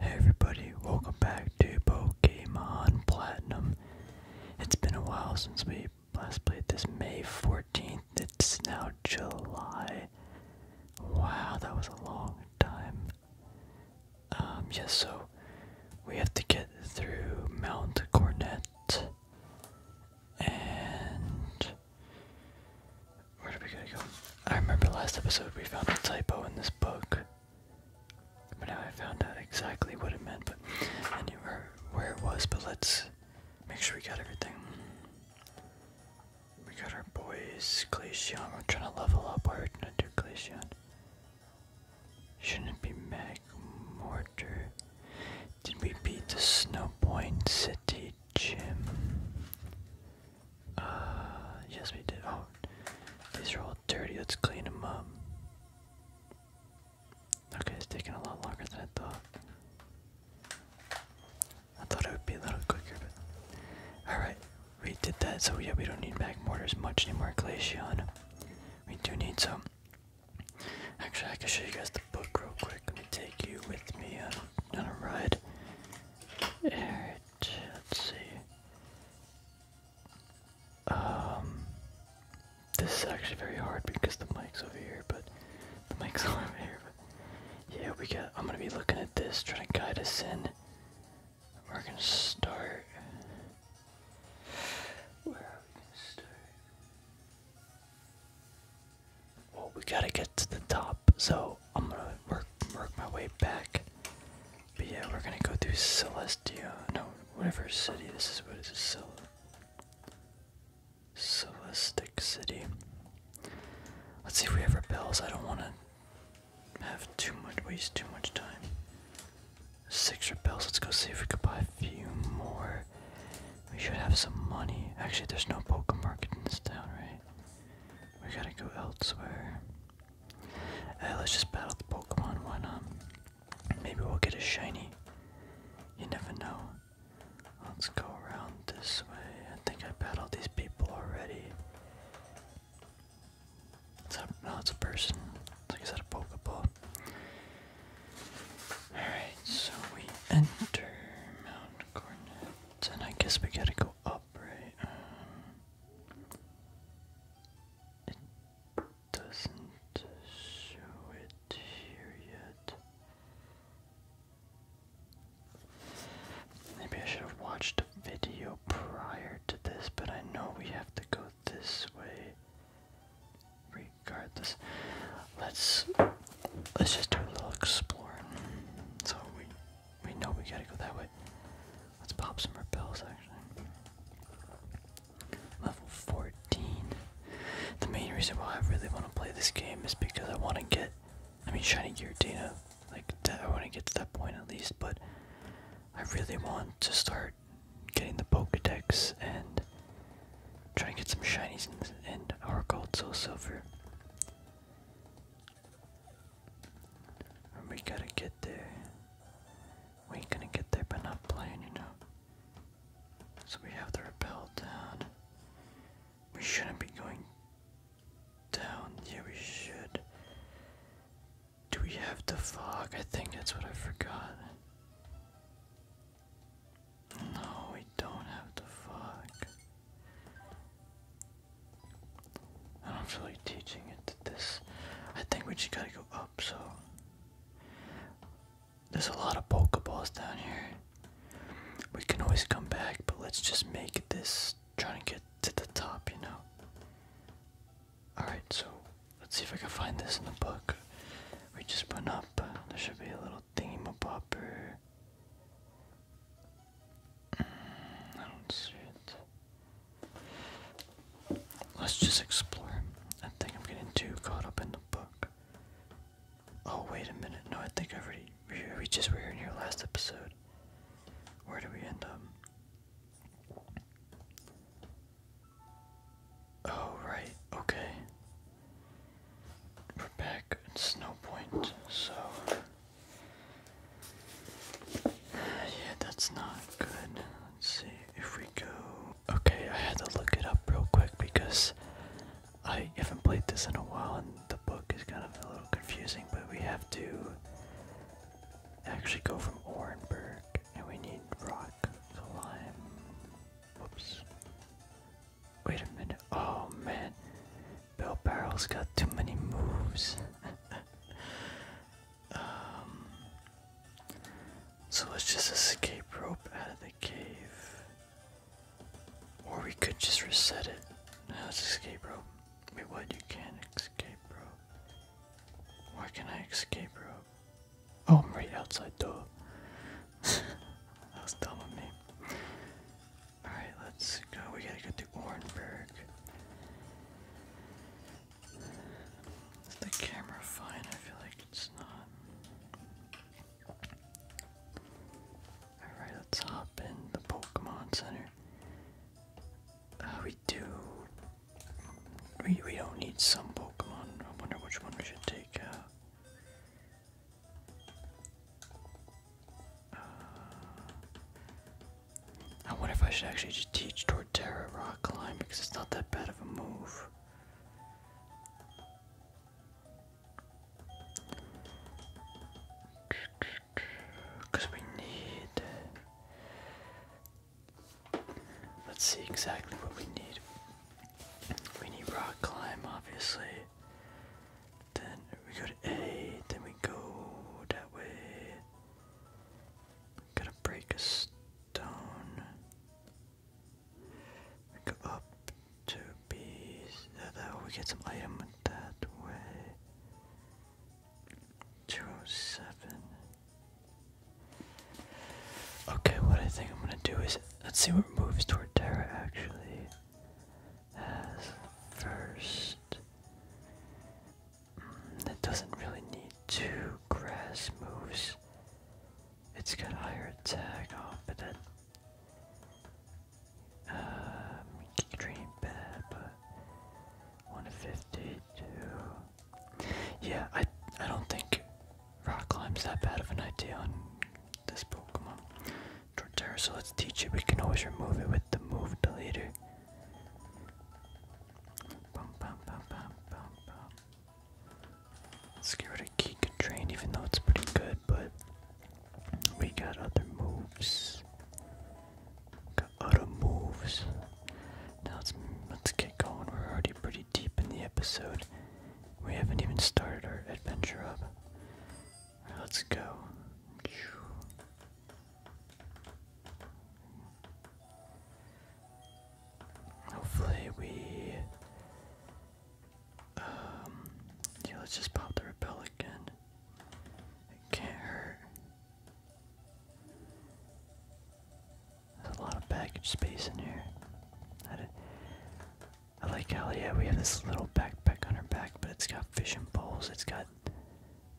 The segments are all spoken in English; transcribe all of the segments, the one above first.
Hey everybody, welcome back to Pokemon Platinum. It's been a while since we last played this May 14th. It's now July. Wow, that was a long time. Um, yes, so we have to get through Mount Cornet and where are we gonna go? I remember last episode we found a typo in this book. But now I found out exactly what it meant, but I where, it was, but let's make sure we got everything. We got our boys, Glaceon, we're trying to level up, we're gonna do Shouldn't it be Mag Mortar? Did we beat the Snowpoint City gym. Uh, yes, we did. Oh, these are all dirty. Let's clean them up. Okay, it's taking a lot longer than I thought. I thought it would be a little quicker, but all right, we did that. So yeah, we don't need back mortars much anymore, Glaceon. We do need some. Actually, I can show you guys the book real quick. Let me take you with me on, on a ride. Alright, let's see. Um, this is actually very hard because the mic's over here, but the mic's over here. But yeah, we got. I'm gonna be looking at this, trying to guide us in. We're gonna start. Where are we gonna start? Well, we gotta get to the top, so I'm gonna work work my way back. But yeah, we're gonna go through Celestia. No, whatever city this is. What is this? Cel Celestic City. Let's see if we have rebels. I don't want to have too much waste too much time. Six rebels. Let's go see if we could buy a few more. We should have some money. Actually, there's no Pokemon market in this town, right? We gotta go elsewhere. let's just battle the Pokemon, why not? Maybe we'll get a shiny. You never know. Let's go around this way. I think I battled these people already. It's a, no, it's a person. Like I said, a Pokeball. Alright, so we enter Mount Cornet. And I guess we gotta go up right? Um, it doesn't show it here yet. Maybe I should have watched a video prior to this, but I know we have to go this way. Regardless, let's let's just do a little exploring. So we we know we gotta go that way. Let's pop some repels, actually. Level 14. The main reason why I really want to play this game is because I want to get, I mean, Shiny Giratina. Like, I want to get to that point at least, but I really want to start getting the Pokedex and trying to get some shinies in, this, in our Gold Silver we gotta get there. We ain't gonna get there by not playing, you know. So we have to repel down. We shouldn't be going down. Yeah, we should. Do we have the fog? I think that's what I forgot. No, we don't have the fog. I am not teaching it to this. I think we just gotta go up, so. There's a lot of Pokeballs down here. We can always come back, but let's just make this trying to get to the top, you know? Alright, so let's see if I can find this in the book. We just went up. There should be a little thingy popper. Let's just explore. I think I'm getting too caught up in the book. Oh, wait a minute. No, I think I already. We, just were in your last episode. Where do we end up? Oh, right. Okay. We're back at Snow so. Yeah, that's not good. Let's see if we go. Okay, I had to look it up real quick because I haven't played this in a while and the book is kind of a little confusing, but we have to actually go from Orenburg and we need rock, slime. Whoops. Wait a minute. Oh man. Bell Barrel's got too many moves. Um, so let's just escape rope out of the cave. Or we could just reset it. Now let's escape rope. Wait, what? You can't escape rope. Why can I escape rope? Oh, I'm right outside the door. that was dumb of me. Alright, let's go. We gotta go to Orenburg. Is the camera fine? I feel like it's not. Alright, let's hop in the Pokemon Center. Uh, we do. We, we don't need some Pokemon. I wonder which one we should take I uh, wonder if I should actually just teach Torterra rock climb because it's not that bad of a move. Because we need. Let's see exactly what we need. We need rock climb, obviously. Then we go to A, then we go that way. Gotta break a stone. go up to B. That we get some item that way. 207. Okay, what I think I'm gonna do is let's see what moves toward Terra actually. As first. That doesn't really need two grass moves. It's got higher attack, oh, but that. Um, dream bad, but 152. Yeah, I I don't think rock climb's that bad of an idea on this Pokemon. Torterra, so let's teach it. We can always remove it with the move deleter. Bum, bum, bum, Train, even though it's pretty good, but we got other moves. Got other moves. let's let's get going. We're already pretty deep in the episode. We haven't even started our adventure up. let's go. Hopefully we um yeah let's just pop the repel again. It can't hurt. There's a lot of package space in here. I like how yeah we have this little backpack on our back, but it's got fishing poles, it's got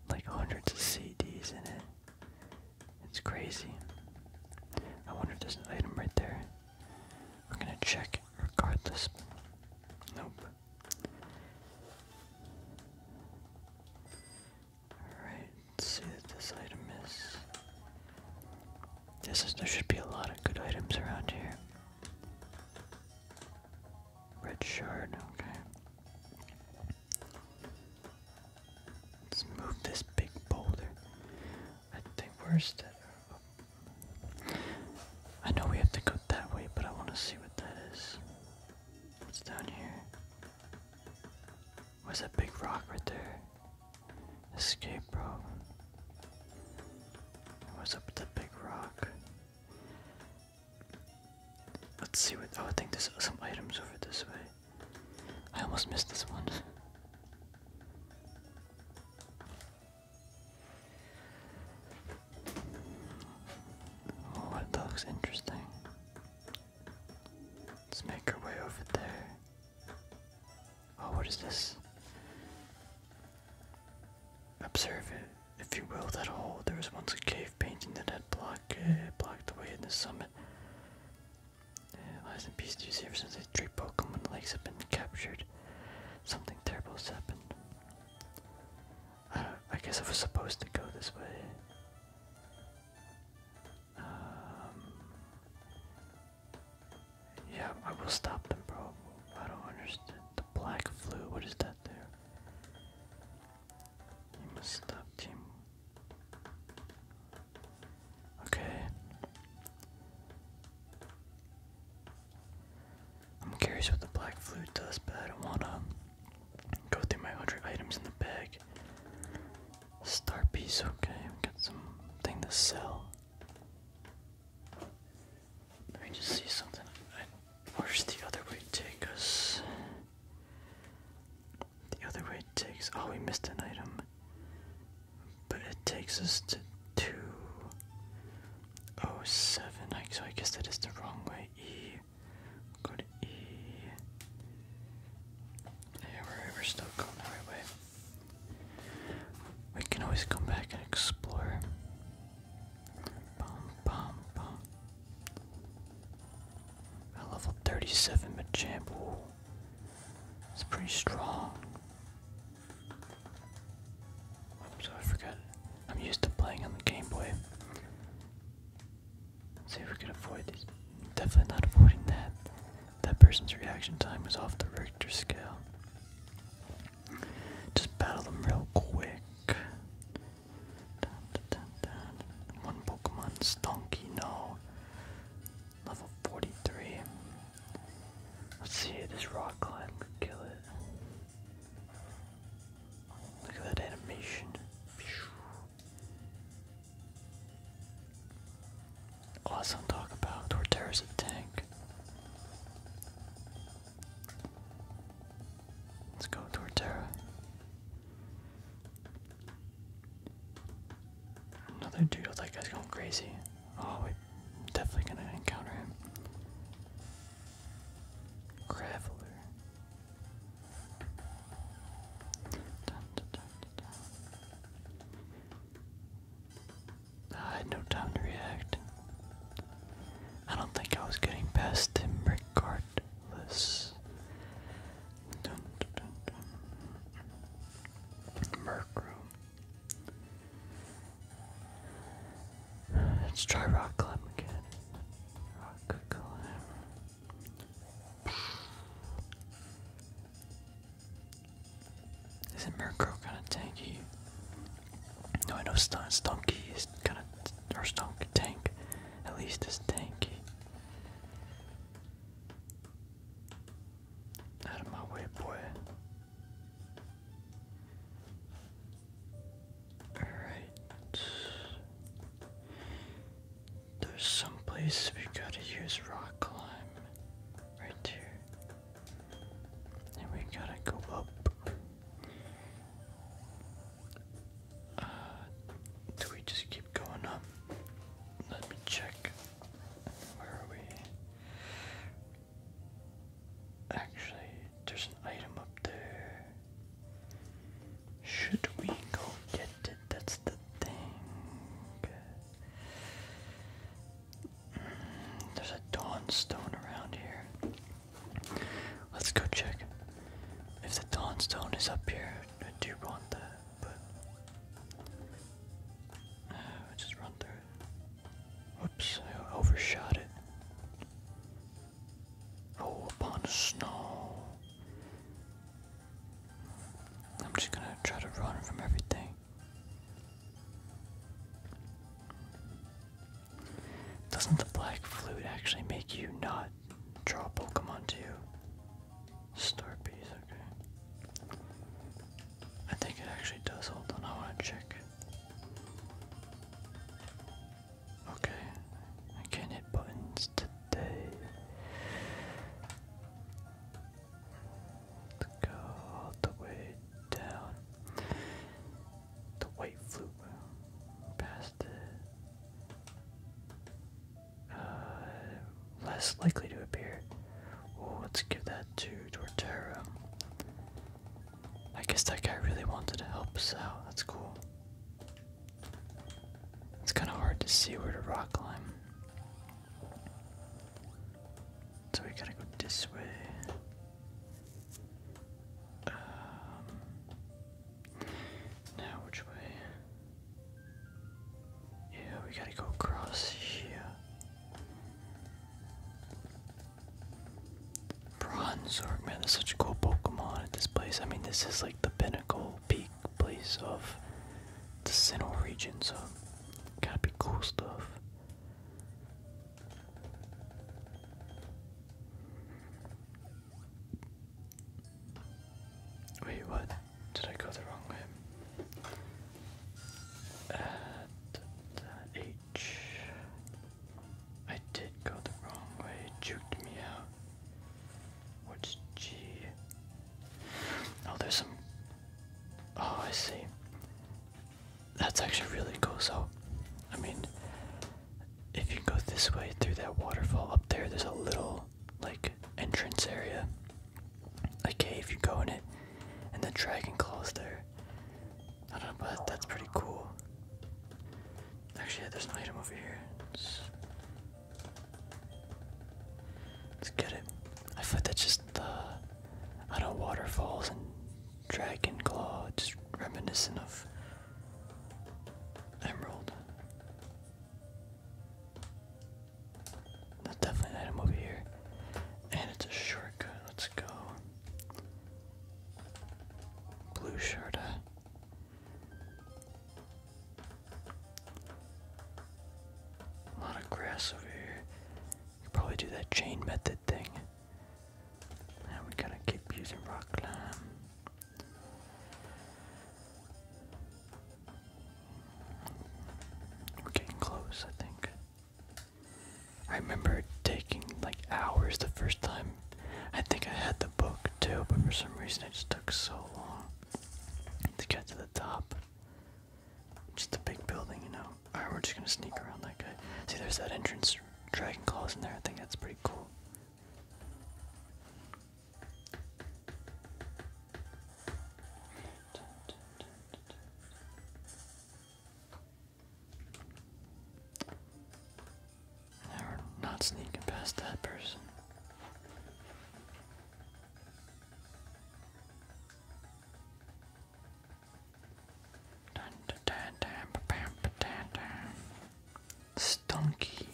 like hundreds of CDs in it. It's crazy. I wonder if there's an item right there. We're gonna check regardless. Nope. Alright, let's see what this item is. This is there should be a lot of good items around here. Red shard, okay. Let's move this big boulder. I think where's that? I know we have to go that way, but I want to see what that is. What's down here? What's that big rock right there? Escape rope. Was up the big rock? Let's see what. Oh, I think there's some items over this way. I almost missed this one. Oh, that looks interesting. Let's make our way over there. Oh, what is this? Observe it if you will, that hole. There was once a cave painting that had uh, blocked, blocked the way in the summit. It lies in peace to you, ever since the three Pokemon legs have been captured. Something terrible has happened. Uh, I, guess I was supposed to go this way. Um, yeah, I will stop them, bro. I don't understand. The black flu, what is that there? You must stop him. Okay. I'm curious what the black flute does, but I don't wanna go through my hundred items in the bag. Star piece, okay, I've got something to sell. Let me just see something. Where's the other way take us? The other way takes. Oh, we missed an item. But it takes us to 207. So I guess that is the wrong way. E. Go to E. Yeah, we're, we're still going the right way. We can always come back and explore. Bum, bum, bum. At level 37 Machamp, It's pretty strong. Oops, I forgot. I'm used to playing on the Game Boy. Let's see if we can avoid this. Definitely not avoiding that. That person's reaction time is off the Richter scale. Just battle them real quick. One Pokemon's donkey, no. Level 43. Let's see, if this rock climb could kill it. Look at that animation. Awesome talk about Torterra's a tank. Let's go Torterra. Another dude, that guy's going crazy. Oh, we definitely gonna encounter him. Graveler. I had no time to react. I don't think I was getting past him, Rickard. Atlas. Dun, Let's try rock climb again. Rock Isn't Murkrow kind of tanky? No, I know Stunky is kind of, or Stunk tank, at least is tanky. Out of my way, boy. Alright. There's some place we gotta use rock climb. Right here. And we gotta go up. Uh, do we just keep going up? Let me check. Where are we? Actually, there's an item up there. Should we go get it? That's the thing. Mm, there's a dawn stone around here. Let's go check if the dawn stone is up here. I do want that, but uh, I just run through it. Whoops, overshot it. Roll oh, upon snow. I'm just gonna try to run from everything. Doesn't the black flute actually make you not Draw a Pokemon to you. Starpiece, okay. I think it actually does. Hold on, I want to check. Okay, I can't hit buttons today. let go all the way down. The white flute. Pass uh, less likely to appear. Oh, let's give that to Torterra. I guess that guy really wanted to help us out. That's cool. It's kind of hard to see where to rock climb. So we gotta go this way. Um, now, which way? Yeah, we gotta go across here. Bronzor, man, there's such a cool Pokemon at this place. I mean, this is like the pinnacle peak place of the Sinnoh region, so gotta be cool stuff. Wait, what? Did I go the wrong way? At H. I did go the wrong way. juked me out. What's G? Oh, there's some. Oh, I see. That's actually really cool. So, I mean, if you go this way through that waterfall up there, there's a little like entrance area, a cave. You go in it, and the dragon claws there. I don't know, but that's pretty cool. Actually, there's an item over here. Let's get it. I thought that's just the I don't waterfalls and dragon claw, just reminiscent of Emerald. That's definitely an item over here. And it's a shortcut. Let's go. Blue Sharda. A lot of grass over here. You probably do that chain method thing. Now we gotta keep using rock climb. We're getting close, I think. I remember taking like hours the first time. I think I had the book too, but for some reason it just took so long to get to the top. Just a big building, you know. Alright, we're just gonna sneak around that guy. See, there's that entrance dragon claws in there. I think that's pretty cool. And not sneaking past that person. Stunky.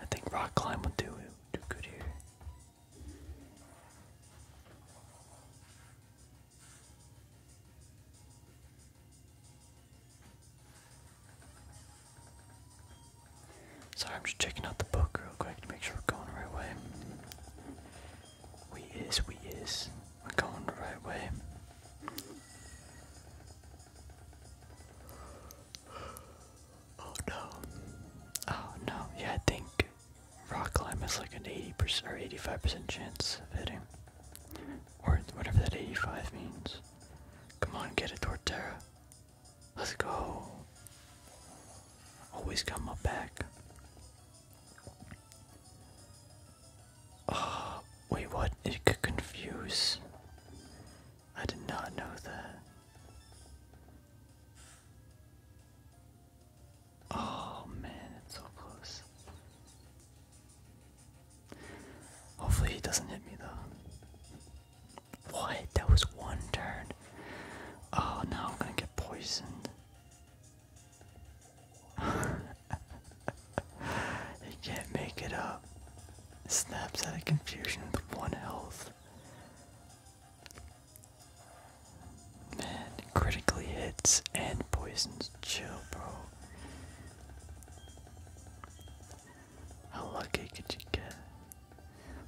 I think rock climb would do do good here. Sorry, I'm just checking out the book real quick to make sure we're going the right way. We is, we is. we going the right way. Oh no. Oh no. Yeah, I think rock climb has like an 80% or 85% chance of hitting. Or whatever that 85 means. Come on, get it, Torterra. Let's go. Always come up back. Oh, wait, what? It could confuse. I did not know that. Oh man, it's so close. Hopefully he doesn't hit me though. What? That was one turn. Oh, now I'm gonna get poisoned. can't make it up snaps out of confusion with one health. Man, critically hits and poisons. Chill, bro. How lucky could you get?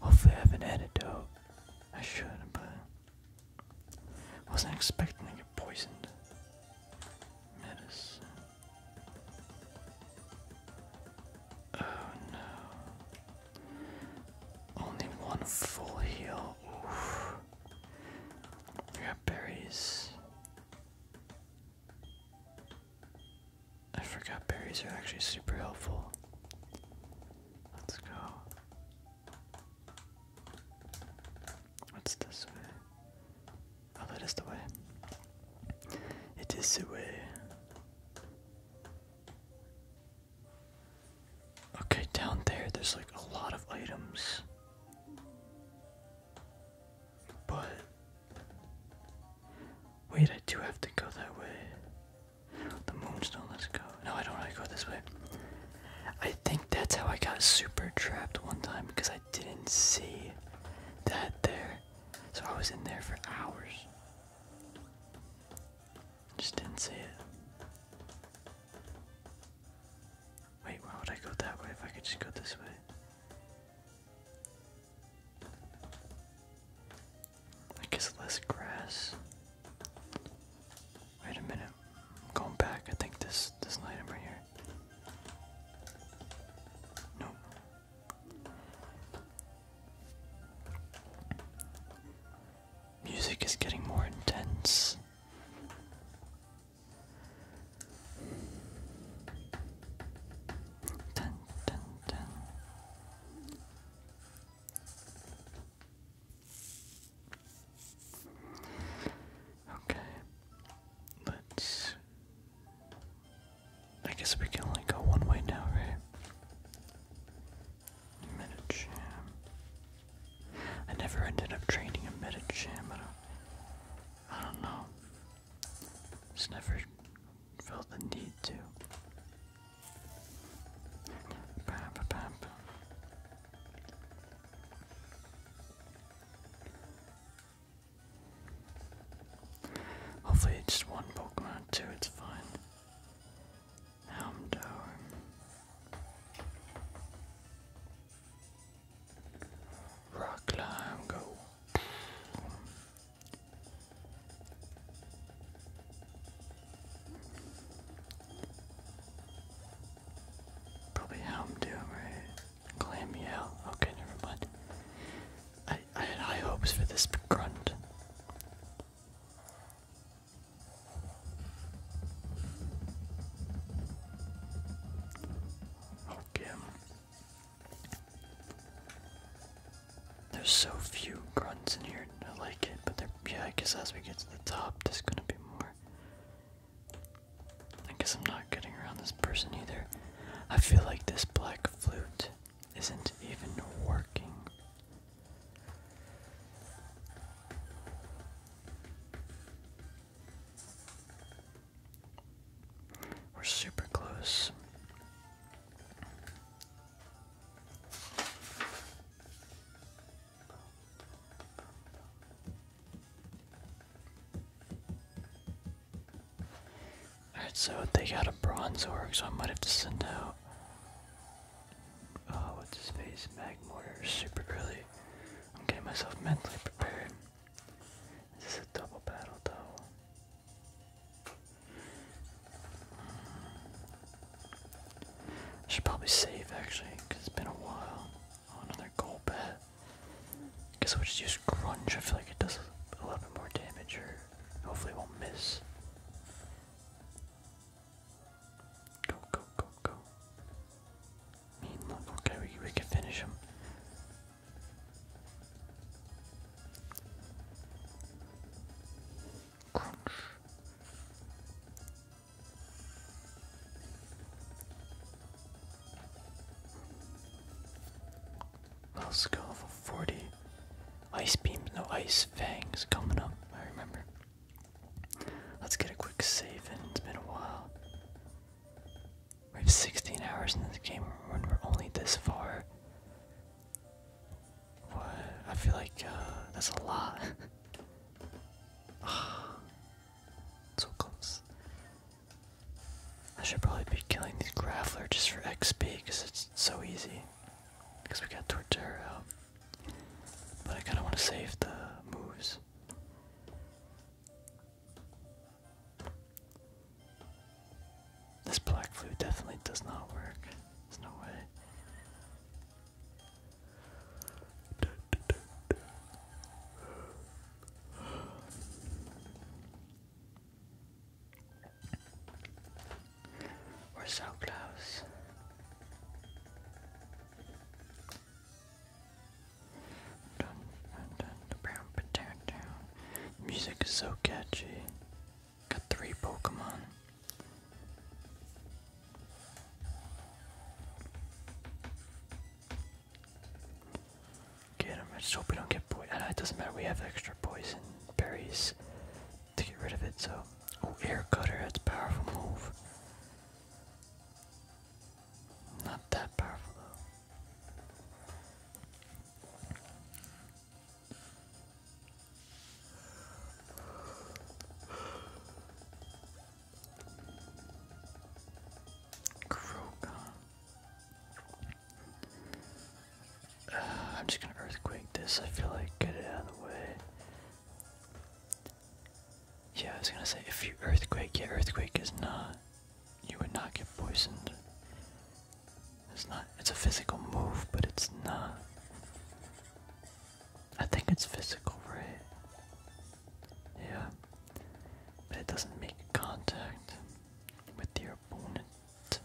Hopefully, I have an antidote. I should, but wasn't expecting to get poisoned. Medicine. Oh no. Only one full heal. Oof. berries. I forgot berries are actually super helpful. Let's go. What's this way? Oh, that is the way. It is the way. Okay, down there, there's like a lot of items. But. Wait, I do have to go that way. The moonstone, let's go. No, I don't want to go this way. I think that's how I got super trapped one time because I didn't see that there. So I was in there for hours. Just didn't see it. Wait, why would I go that way if I could just go this way? I guess less grass. Wait a minute. I'm going back. I think this this item right here. Nope. Music is getting more intense. Okay, let's I guess we can only go one way now, right? Metacham. I never ended up training a Metacham, but I, uh, I don't know. Just never felt the need to. Hopefully it's just one Pokemon too, it's fine. Houndour. Rock climb go. Probably Houndoom, right? Clam Okay, never mind. I, had high hopes for this grunt. Okay. Um, there's so few grunts in here, I like it, but yeah, I guess as we get to the top, there's gonna be more. I guess I'm not getting around this person either. I feel like this black flute isn't even working. We're super close. Alright, so they got a bronze org, so I might have to send out. Oh, what's his face? Mag mortar super early. I'm getting myself mentally prepared. This is a double battle, though. I should probably save actually, because it's been a while. Oh, another gold bat. Guess we will just use Grunge. I feel like it does a little bit more damage, Hopefully we won't miss. Go, go, go, go. Mean look, okay, we, we can finish him. Crunch. Let's go for 40. Ice beams, no ice fangs coming up, I remember. Let's get a quick save and it's been a while. We have 16 hours in this game and we're only this far. What? I feel like uh, that's a lot. Ah, so close. I should probably be killing these Grafflers just for XP because it's so easy because we got Torterra um, But I kind of want to save the moves. This black flute definitely does not work. There's no way. We're so close. Music is so catchy. Got three Pokemon. Get him. I don't get uh, It doesn't matter. We have extra poison berries to get rid of it, so. Oh, air cutter, that's powerful move. Not that powerful though. Krogon. I'm just gonna earthquake this. I feel like get it out of the way. Yeah, I was gonna say if you earthquake, yeah, earthquake is not. You would not get poisoned. It's not. It's a physical move, but it's not. I think it's physical, right? Yeah, but it doesn't make contact with your opponent.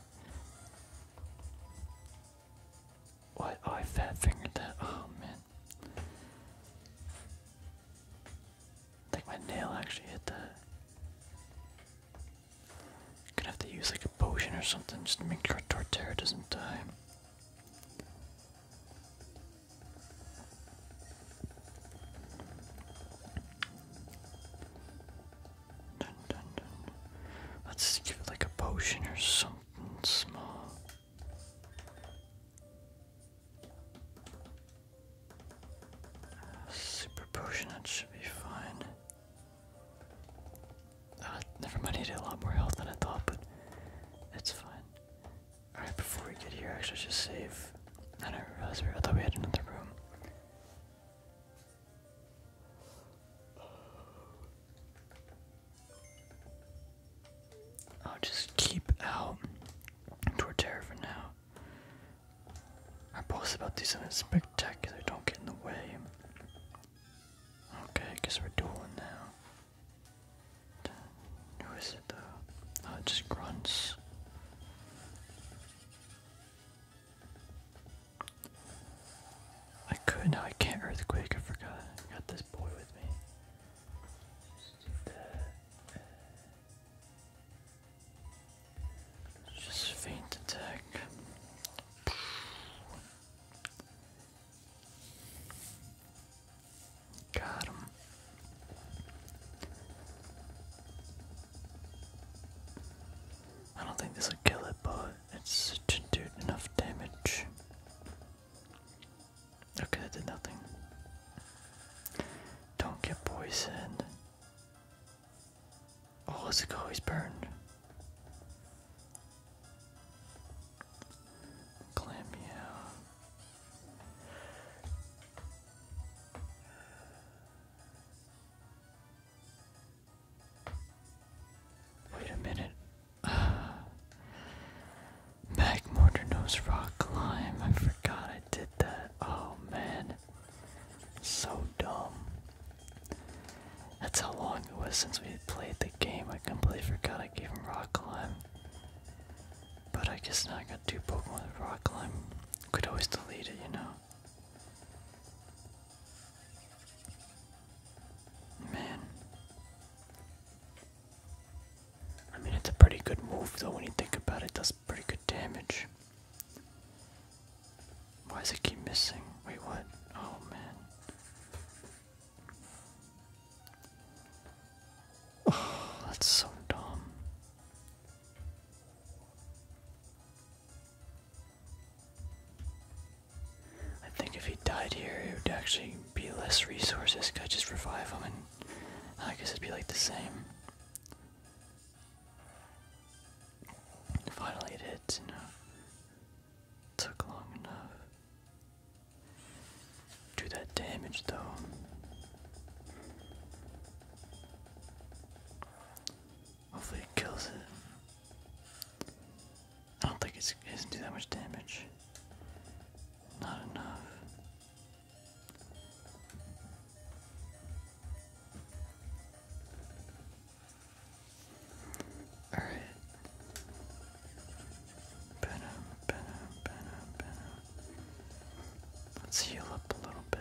What? Oh, I fat fingered that. Oh, man. think my nail actually hit that. Gonna have to use like a potion or something just to make sure Torterra doesn't die. Let's give it like a potion or something small. Uh, super potion, that should be fine. Uh, never mind, I did a lot more health than I thought, but it's fine. Alright, before we get here, actually, just save. I don't realize I thought we had another room. I'll just keep out Torterra for now. I post about these do something spectacular, don't get in the way. Okay, I guess we're dueling now. Who is it though? Oh, just grunts. I could no, I can't earthquake. I forgot. I got this boy with me. Just faint attack. Got him. I don't think this will kill it, but it's didn't do enough damage. Okay, that did nothing. Don't get poisoned. Oh, let's go, he's burned. Clam Wait a minute. Magmortar rock climb. I forgot I did that. Oh man. So dumb. That's how long it was since we played the game. I completely forgot I gave him rock climb. But I guess now I got two Pokemon with rock climb. Could always delete it, you know. Man. I mean, it's a pretty good move, though, when you think about it. does pretty good damage. Why does it keep missing? Wait, what? Oh, man. Oh, that's so dumb. I think if he died here, it would actually be less resources. Could just revive him, and I guess it'd be like the same. Finally, it You know, took long enough. Do that damage though. Hopefully it kills it. I don't think it's, it doesn't do that much damage. Not enough. Alright. Let's heal up a little bit.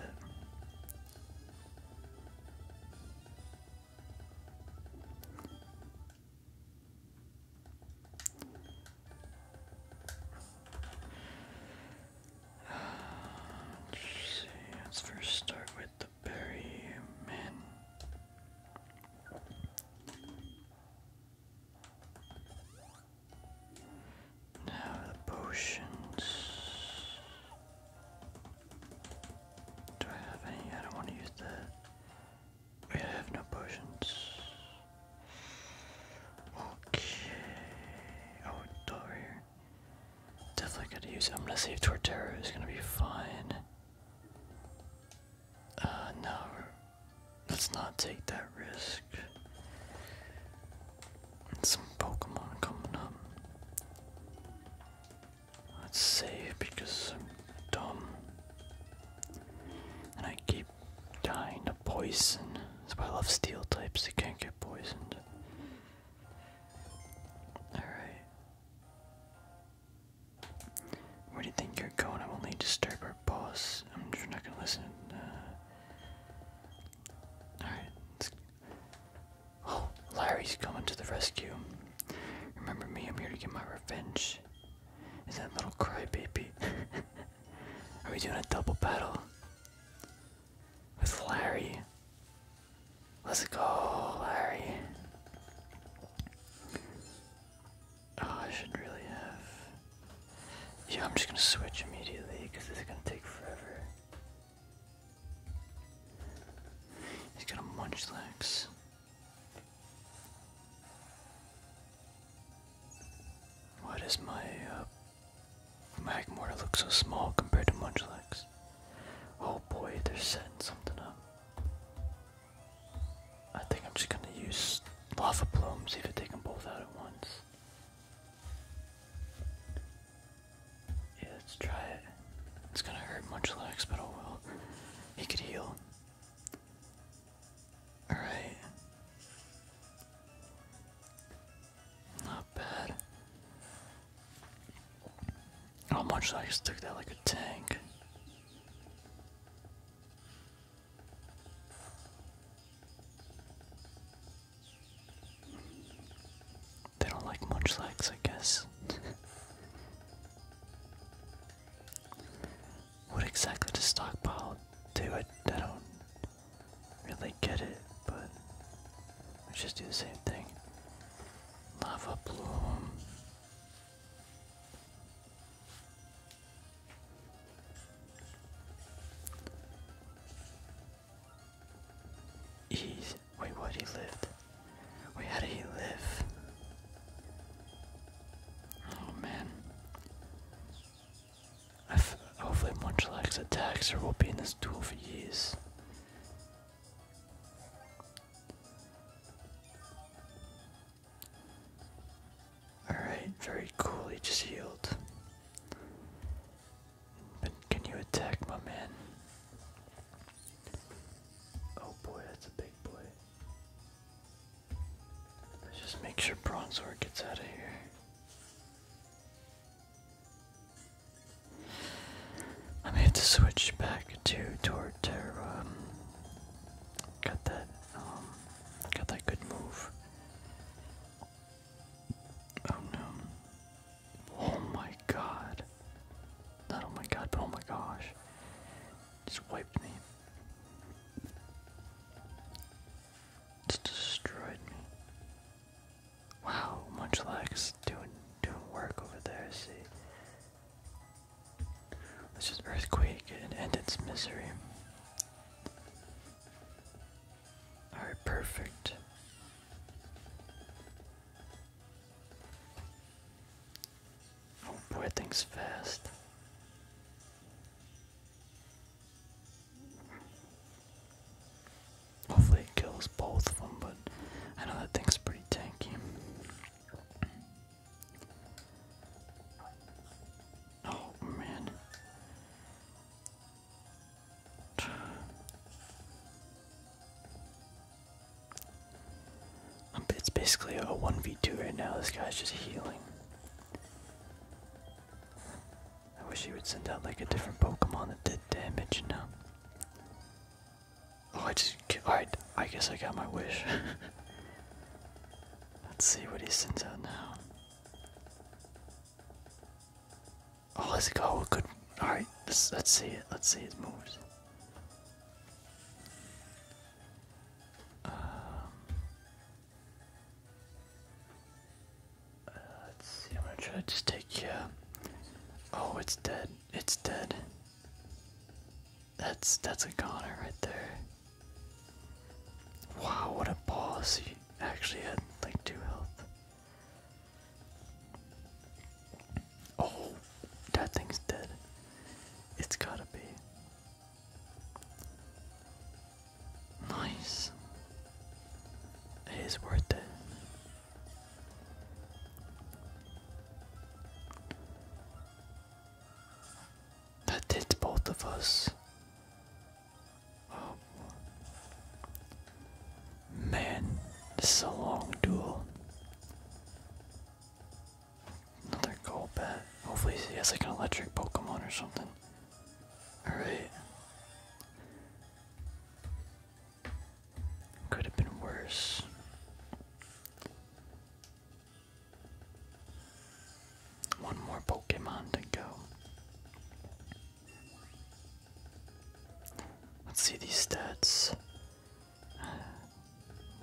Let's first start with the berry men. Now the potions. Do I have any? I don't want to use that. We have no potions. Okay. Oh, door here. Definitely gotta use it. I'm gonna if Torterra, is gonna be fine. Uh, no. Let's not take that risk. some Pokemon coming up. Let's save because I'm dumb. And I keep dying to poison. That's why I love steel types, they can't get poisoned. Alright. Where do you think you're going? I will only disturb our boss. I'm not gonna listen. Uh, alright. Oh, Larry's coming to the rescue. Remember me, I'm here to get my revenge. Is that little crybaby? Are we doing a double battle? With Larry. Let's go, Larry. Oh, I should really have. Yeah, I'm just gonna switch immediately because this is gonna take forever. He's gonna munch legs. Why does my uh, look so small compared to Munchlax? Oh boy, they're setting something up. I think I'm just gonna use Lava Plume, see if I take them both out at once. Yeah, let's try it. It's gonna hurt much less, but oh will. He could heal. Alright. Not bad. Oh, much took that like a tank. They don't like much I guess. What exactly does stockpile do? I, don't really get it, but we just do the same thing. Lava bloom. He, wait, what? He lived. Wait, how did he live? Oh man. hopefully Munchlax attacks or we'll be in this duel for years. Alright, very cool, he just healed. But can you attack my man? Oh boy, that's a big boy. Let's just make sure Bronzor gets out of here. I may have to switch back to Torterra. Um, got that, um, got that good move. Oh no. Oh my god. Not oh my god, but oh my gosh. Just wiped me. Just destroyed me. Wow, Munchlax doing doing work over there, see. Let's just earthquake and end its misery. Alright, perfect. Don't oh, things fast. Hopefully it kills both of them, but I know that thing's pretty tanky. Oh man. Um, it's basically a 1v2 right now. This guy's just healing. I wish he would send out like a different Pokemon that did damage, you know? Oh, I just. Alright, I guess I got my wish. Let's see what he sends out now. Oh, let's go. Good. Alright, let's, let's see it. Let's see his moves. Um, uh, let's see. I'm gonna try to just take you. Oh, it's dead. It's dead. That's that's a goner right there. Wow, what a boss! He actually had like two health. Oh, that thing's dead. It's gotta be. Nice. It is worth it. That did both of us. Oh. Man, this is a long duel. Another Golbat. Hopefully he has like an electric Pokemon or something. Alright. Could have been worse. One more Pokemon to go. Let's see these stats.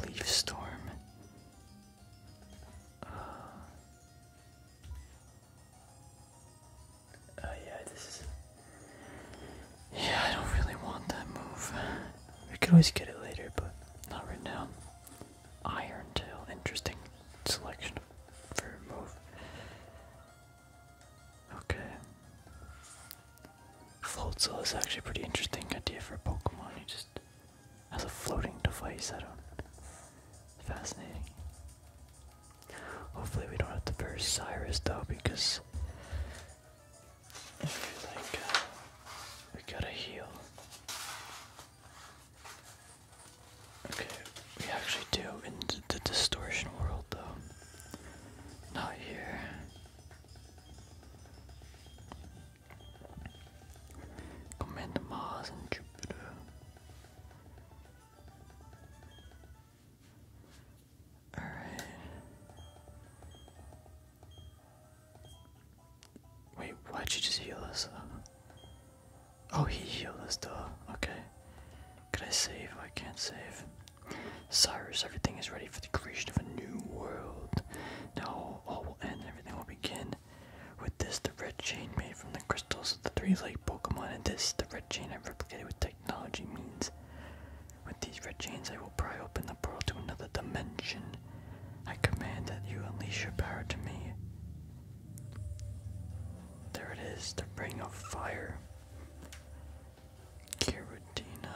Leaf storm. Uh, uh yeah, this Yeah, I don't really want that move. We could always get it later, but not right now. Iron Tail, interesting selection for move. Okay. Floatzel is actually a pretty interesting idea for a Pokemon. You just as a floating device. I don't. Fascinating. Hopefully, we don't have to burn Cyrus though, because I feel like uh, we gotta heal. Okay, we actually do in the distortion world though. Not here. Commander Mars and Jupiter. Alright. Wait, why'd you just heal us? Uh? Oh, he healed us, though. Okay. Can I save? I can't save. Cyrus, everything is ready for the creation of a new world. Now and everything will begin. With this, the red chain made from the crystals of the three-legged Pokemon, and this, the red chain I've replicated with technology means. With these red chains, I will pry open the portal to another dimension. I command that you unleash your power to me. There it is, the Ring of Fire. Giratina.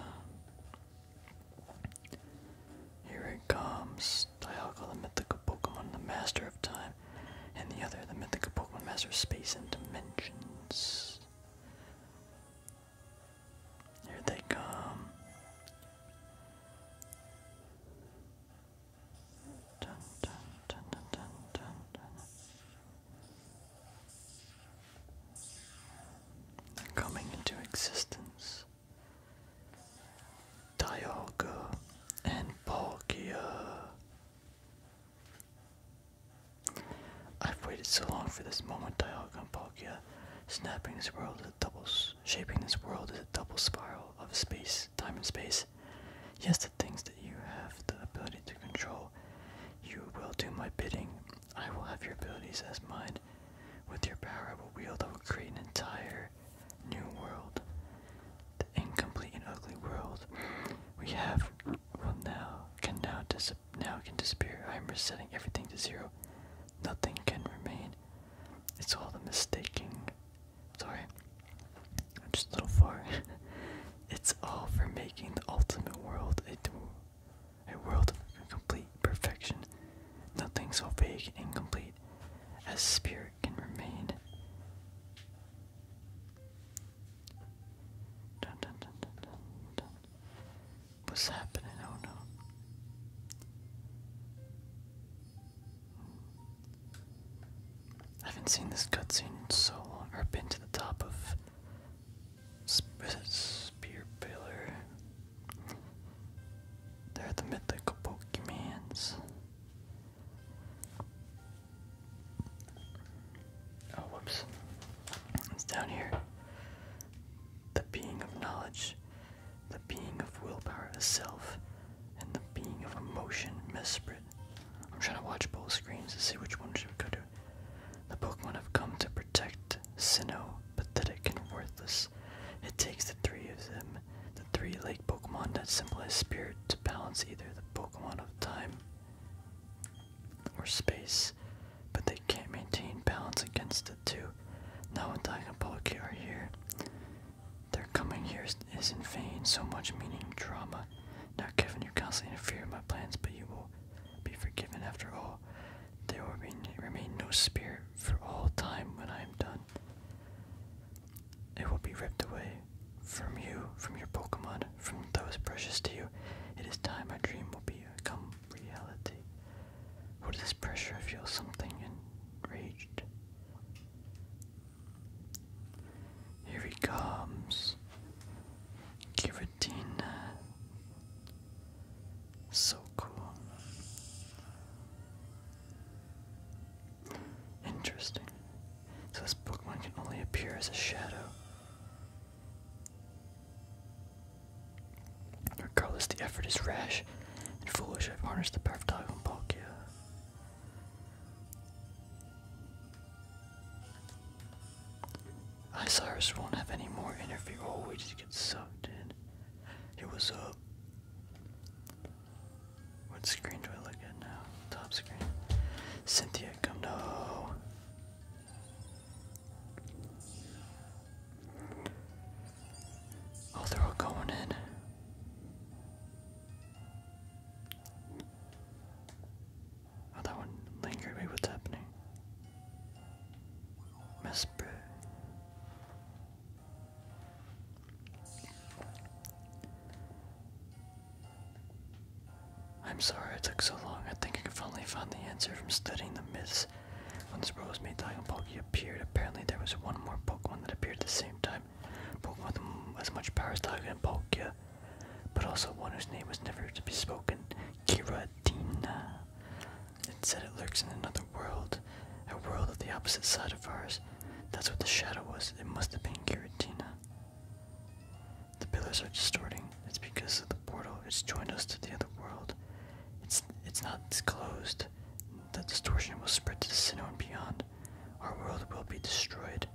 Here it comes. Dialga, the mythical Pokemon, the master of time, and the other, the mythical Pokemon, master space and dimensions. Here they come. Dun, dun, Coming into existence. Dialga, and Palkia. I've waited so long for this moment, Dialga and Palkia. Snapping this world is a double, shaping this world is a double spiral of space, time and space. Yes, the things that you have the ability to control, you will do my bidding. I will have your abilities as my with your power, I will will create an entire new world. The incomplete and ugly world we have will now can now dis now can disappear. I am resetting everything to zero. Nothing can remain. It's all the mistaking. Sorry, I'm just a little far. it's all for making the ultimate world a, a world of complete perfection. Nothing so vague and incomplete as spirit can remain. What's happening? Oh no. I haven't seen this cutscene so long, or been to the top of Spear Pillar. They're the mythical Pokemons. Oh, whoops. It's down here. The being of knowledge, the being of willpower self, and the being of emotion, Mesprit. I'm trying to watch both screens to see which one should go to. The Pokemon have come to protect Sinnoh, pathetic and worthless. It takes the three of them the three lake Pokemon that symbolize spirit to balance either the Pokemon of time or space, but they can't maintain balance against the two. Now when Daigon Palkia are here, their coming here is, in vain, so much meaning drama. Now Kevin, you constantly interfere my plans, but you will be forgiven after all. There will remain no spirit for all time when I am done. It will be ripped away from you, from your Pokemon, from those precious to you. It is time my dream will become reality. What is this pressure? I feel something enraged. Here he comes. Giratina. So cool. Interesting. So this Pokemon can only appear as a shadow. Regardless, the effort is rash and foolish. I've harnessed the power of Dog and Palkia. Isurus won't have any more interview. Oh, we just get sucked in. It was up. What screen do I look at now? Top screen. Cynthia, come no. Oh, they're all going in. Oh, that one lingered. Wait, what's happening? Mess, bro. I'm sorry it took so long. I think I finally found the answer from studying the myths. When this Rosemate Diamond Pokey appeared, apparently there was one more Pokemon that appeared at the same time. Pokemon with as much power as Diamond and but also one whose name was never to be spoken, Kiradina. It said it lurks in another world, a world of the opposite side of ours. That's what the shadow was. It must have been Giratina. The pillars are distorting. It's because of the portal. It's joined us to the other world. It's it's not closed. The distortion will spread to the Sinnoh and beyond. Our world will be destroyed.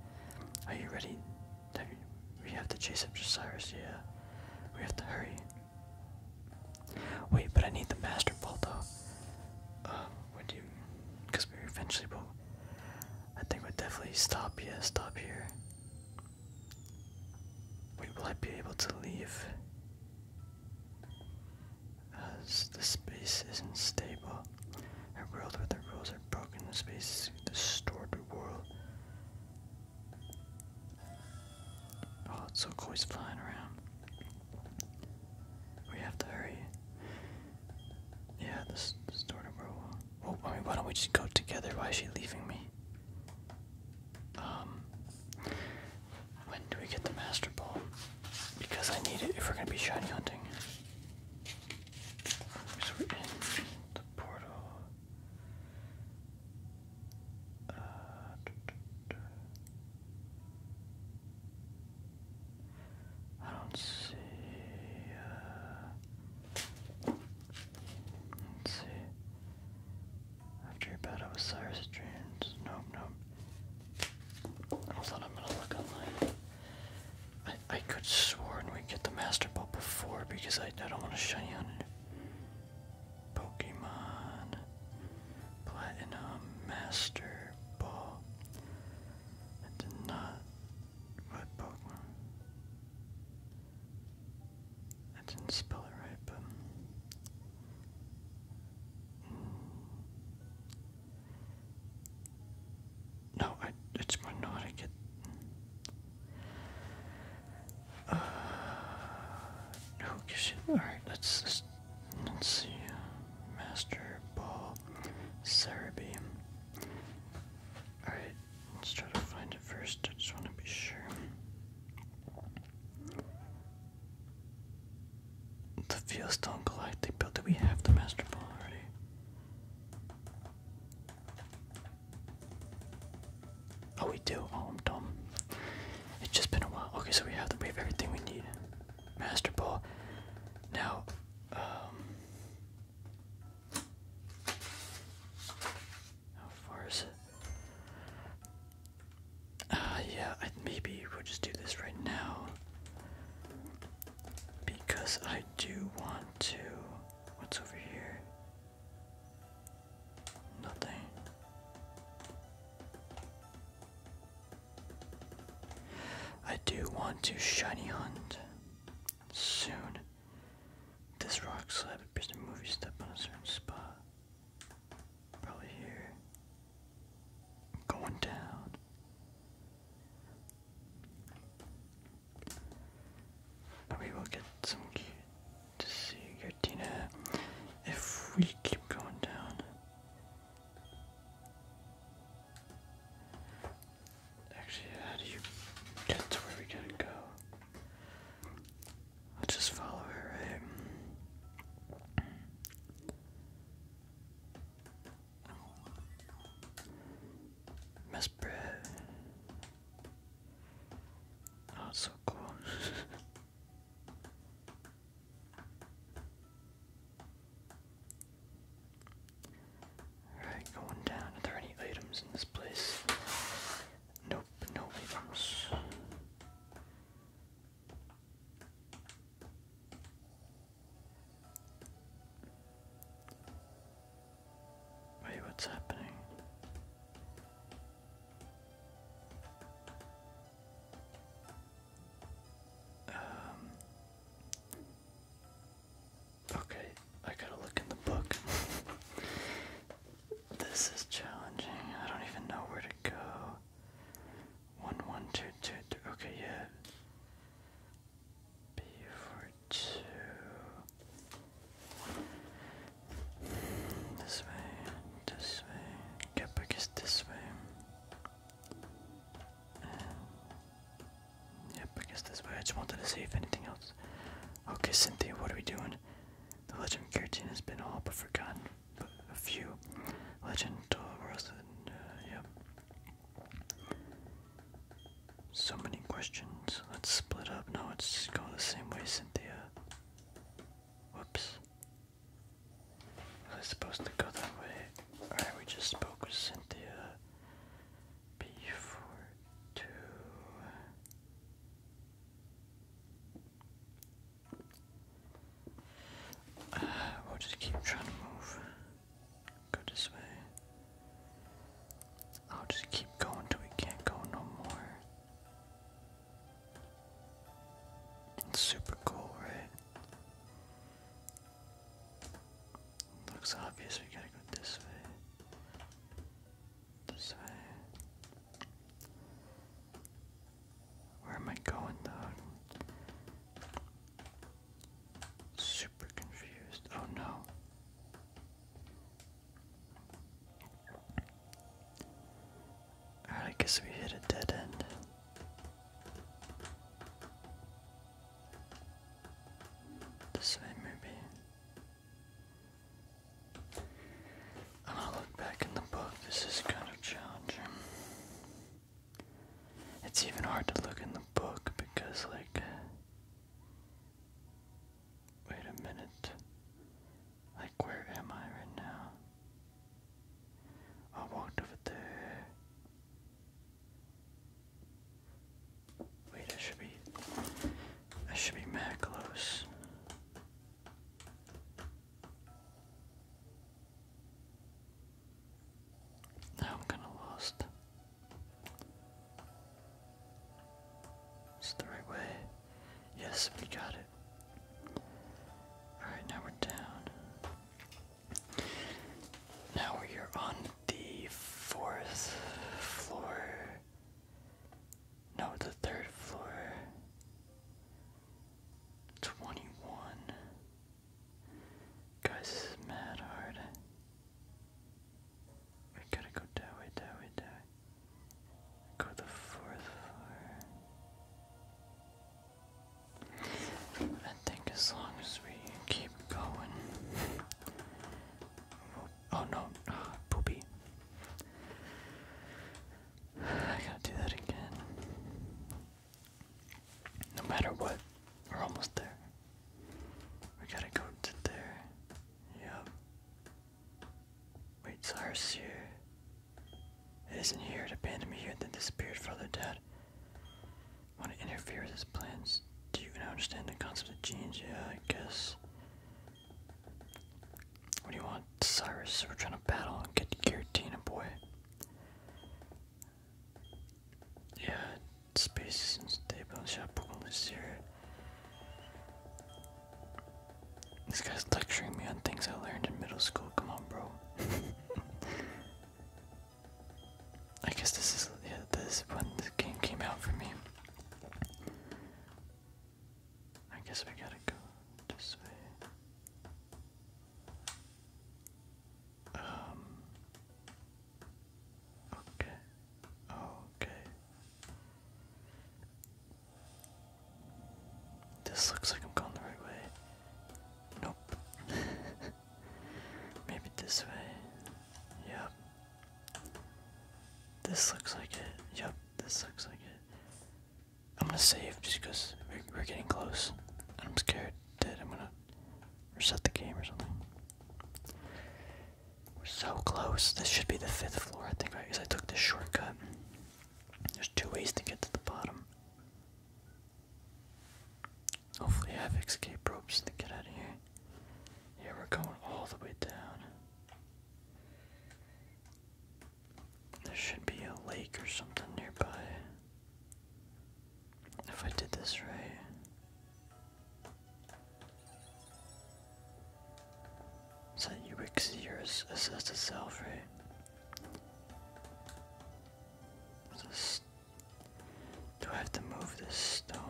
Are you ready? we have to chase up Cyrus, yeah. We have to hurry. Wait, but I need the master ball though. Uh, would you? Because we eventually will. I think we'd definitely stop. Yeah, stop here. Wait, will I be able to leave? As the space isn't stable. A world where the rules are broken, the space is a distorted world. Oh, it's so cool he's flying around. We have to hurry. Yeah, this, this door number I mean, why don't we just go together? Why is she leaving me? Um, when do we get the Master Ball? Because I need it if we're gonna be shiny hunting. So we're in the portal. Uh, I don't see. let's uh, see. After your battle with Cyrus Dreams. No, no. Hold on, I'm gonna look online. I, I could sworn we get the Master Ball before because I, I don't want to shine on it. Pokemon Platinum Master ball. I did not write Pokemon. I didn't spell it right, but mm. no, I it's more not I get uh, no, you alright let's. let's Let's see. Master Ball Beam. Alright, let's try to find it first. I just want to be sure. The fields don't collide. They built. Do we have the Master Ball already? Oh, we do. Oh, I'm dumb. It's just been a while. Okay, so we have to we have everything we need. Master Ball. Now, um, how far is it? Uh, yeah, maybe we'll just do this right now because I do want to. What's over here? Nothing. I do want to shiny hunt soon. This rock slab appears to move you step on a certain spot. Probably here. going down. We will get some key to see Gertina if we keep going down. Actually, how do you get to where we gotta go? I'll just follow her, right? Miss Brett. Oh, so cool. Alright, going down. Are there any items in this place? Nope, no items. Wait, what's happening? Um, okay, I gotta look in the book. this is challenging. I don't even know where to go. One, one, two, two, two. Okay, yeah. B for two. This way, this way. Get back this way. Um, yep, I guess this way. I just wanted to see if anything else. Okay, Cynthia, what are we doing? The legend of Giratina has been all but forgotten, but a few. Legend uh, Dolorosa, uh, yep. So many questions. Let's split up. No, let's go the same way, Cynthia. Whoops. Was I supposed to go that way? Alright, we just spoke with Cynthia. B4, 2. Uh, we'll just keep trying to move. Go this way. I'll just keep going till we can't go no more. It's super cool, right? Looks obvious we gotta go this way. This way. Where am I going though? Super confused. Oh no. Alright, guess we hit a dead end. This way, maybe. And I'll look back in the book. This is kind of challenging. It's even hard to look in the book because, like, wait a minute. Like, where am I right now? I walked over there. Wait, I should be. I should be mad close. Now I'm kinda lost. It's the right way. Yes, we got it. Alright, now we're down. Now we are on the fourth floor. No, the third floor. 21. Guys, is mad hard. We gotta go that way, that Go the fourth floor. I think as long as we keep going. Oh no, ah, poopy. I gotta do that again. No matter what, we're almost there. We gotta go to there. Yep. Wait, Cyrus here. It isn't here. It abandoned me here and then disappeared, the dead want to interfere with his plans. Do you understand the concept of genes? Yeah, I guess. What do you want, Cyrus? We're trying to battle and get to Giratina, boy. Yeah, space is unstable. Chapeau is here. This guy's lecturing me on things I learned in middle school. Come on, bro. I guess this is this when the game came out for me. I guess we gotta go this way. Um. Okay. Okay. This looks like I'm going the right way. Nope. Maybe this way. Yep. This looks like it. Yep, this looks like it. I'm gonna save just because we're, we're getting close. And I'm scared that I'm gonna reset the game or something. We're so close. This should be the fifth floor, I think, right? Because I took this shortcut. There's two ways to get to the bottom. Hopefully I have escape ropes to get out of here. Yeah, we're going all the way down. There should be a lake or something nearby. If I did this right. Is that UXC or SSSL, right? Do I have to move this stone?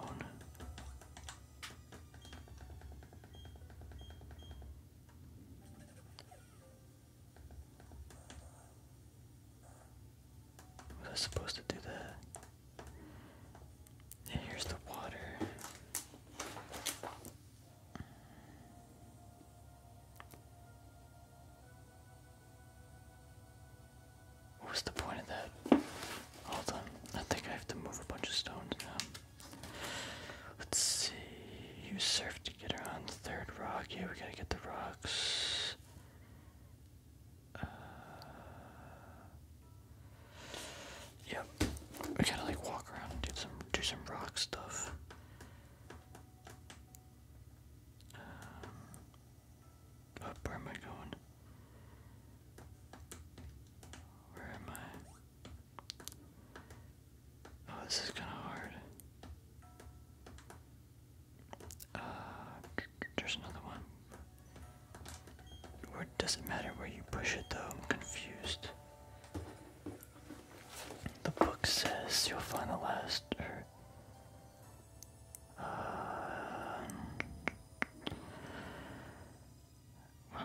Was I supposed to do that? And here's the water. What was the point of that? Hold on. I think I have to move a bunch of stones now. Let's see. You surf to get around the third rock. Yeah, we gotta get the rocks. Uh, yep. We gotta like walk around and do some do some rock stuff. Um, up, where am I going? Where am I? Oh, this is kind of hard. Uh, there's another one. Where does not matter where you push it though? I'm confused. The book says you'll find the last, uh,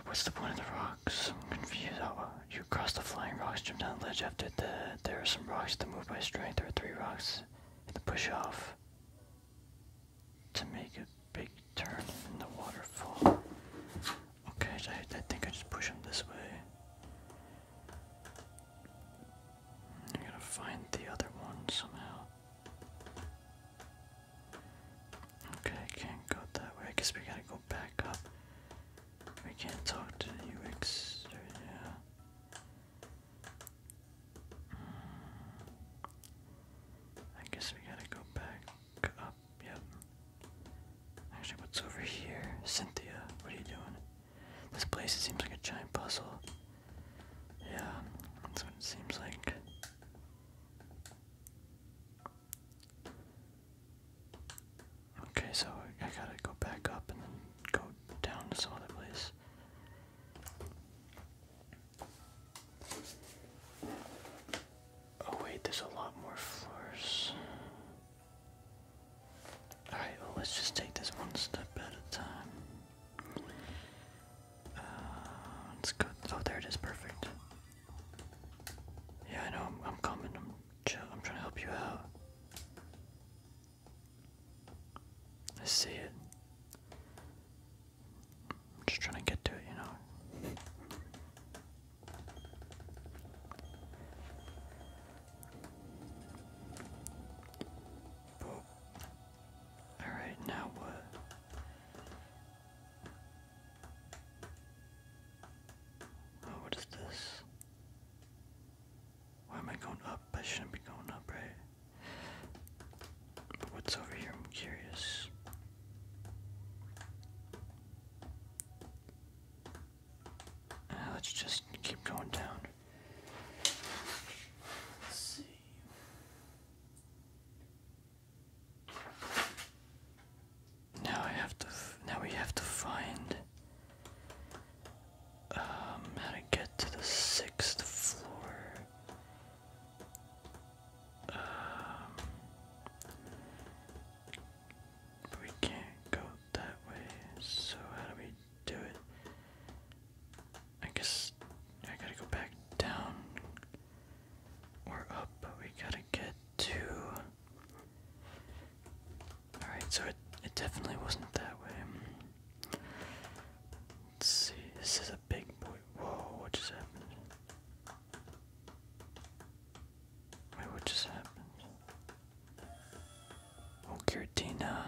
what's the point of the rocks? I'm confused. Oh, you cross the flying rocks, jump down the ledge after the. There are some rocks that move by strength. There are three rocks and the push off to make a big turn in the waterfall. Okay, I, I think I just push them this way. I gotta find the other one somehow. Okay, can't go that way. I guess we gotta go back up. We can't talk to UX. yeah. Hmm. I guess we gotta go back up. Yep. Actually, what's over here? Cynthia, what are you doing? This place seems like a giant puzzle. Yeah, that's what it seems like. Okay, so I gotta go back up and then go down to some other place. Oh wait, there's a lot more floors. Alright, let's just take this one step at a time. Uh, let Oh, there it is. Perfect. Yeah, I know. I'm, coming. I'm, trying to help you out. I see it. I'm just trying to get to it, you know. Alright, now what? Oh, what is this? Why am I going up? I shouldn't be going up, right? But what's over here? I'm curious. Uh, let's just keep going down. Let's see. Now I have to. Now we have to find um, how to get to the sixth floor. Um, we can't go that way. So how do we do it. I guess I gotta go back down or up, but we gotta get to. Alright, so it, it definitely wasn't that way. see, this is a big boy. Whoa, what just happened? Wait, what just happened? Oh, Giratina.